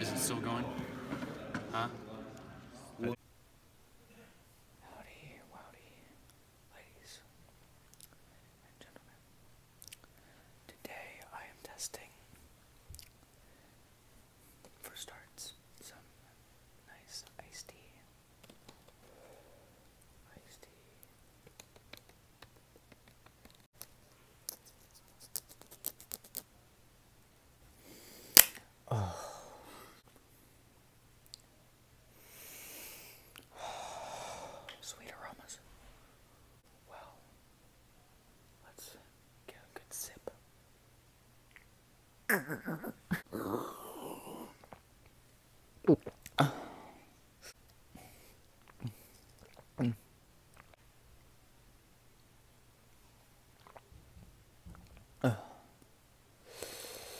Is it still going? Huh? Howdy, howdy, ladies and gentlemen. Today I am testing, for starts, some nice Iced tea. Oh. Sweet aromas. Well, let's get a good sip. All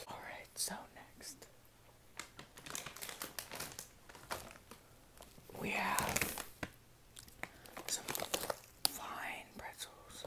right, so next we have some fine pretzels.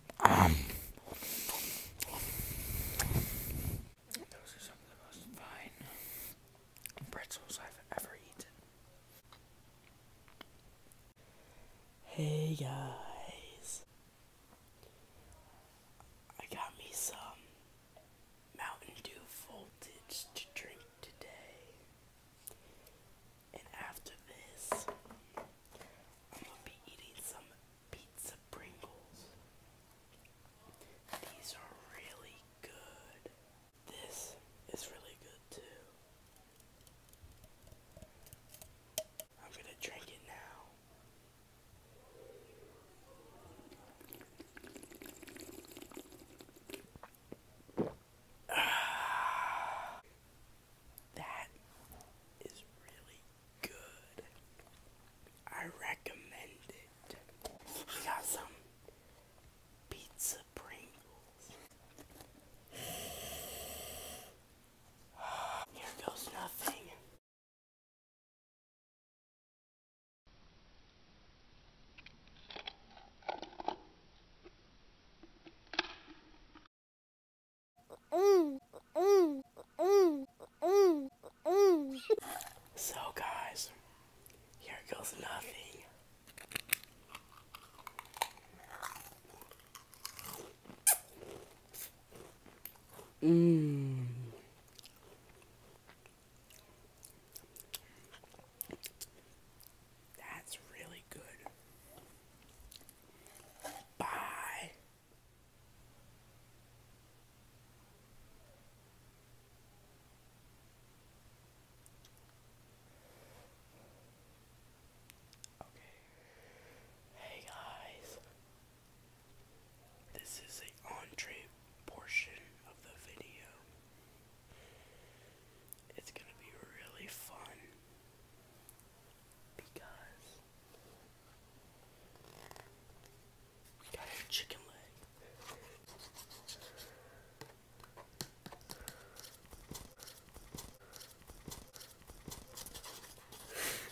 Um, those are some of the most fine pretzels I've ever eaten. Hey guys, I got me some Mountain Dew Voltage to drink today. And after this, I'm gonna be eating some pizza Pringles. These are really good. This is really good too. I'm gonna drink it now. Ah. That is really good. I recommend it. We got some pizza Pringles. Here goes nothing. So guys, here goes nothing. Mmm. That's really good. Bye. Okay. Hey guys. This is the entree portion of the video. It's gonna be really fun because we got a chicken leg.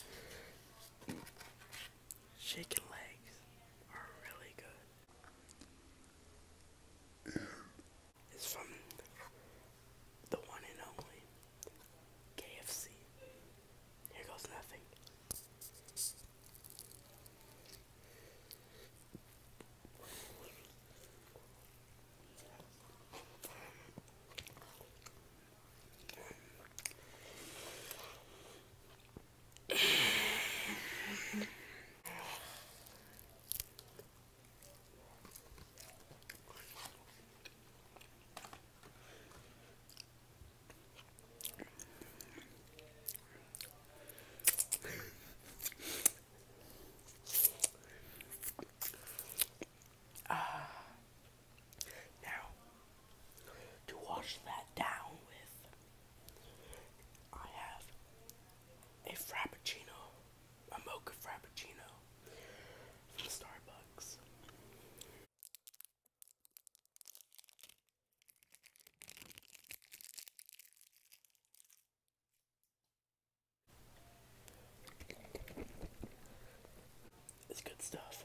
Chicken legs are really good. It's from the one and only KFC. Here goes nothing. Uh, now, to wash that down with I have a frappuccino, a mocha frappuccino from Starbucks. It's good stuff.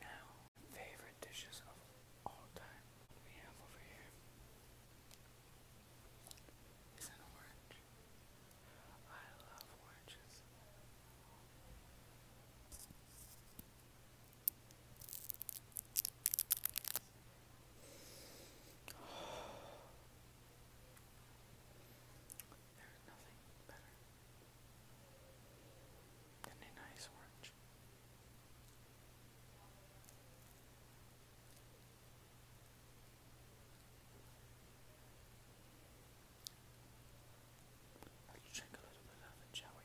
Now, favorite dishes of all time we have over here is an orange. I love oranges. There's nothing Let's drink a little bit of it, shall we?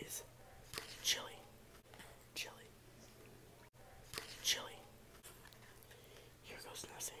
is chili, chili, chili. Here goes nothing.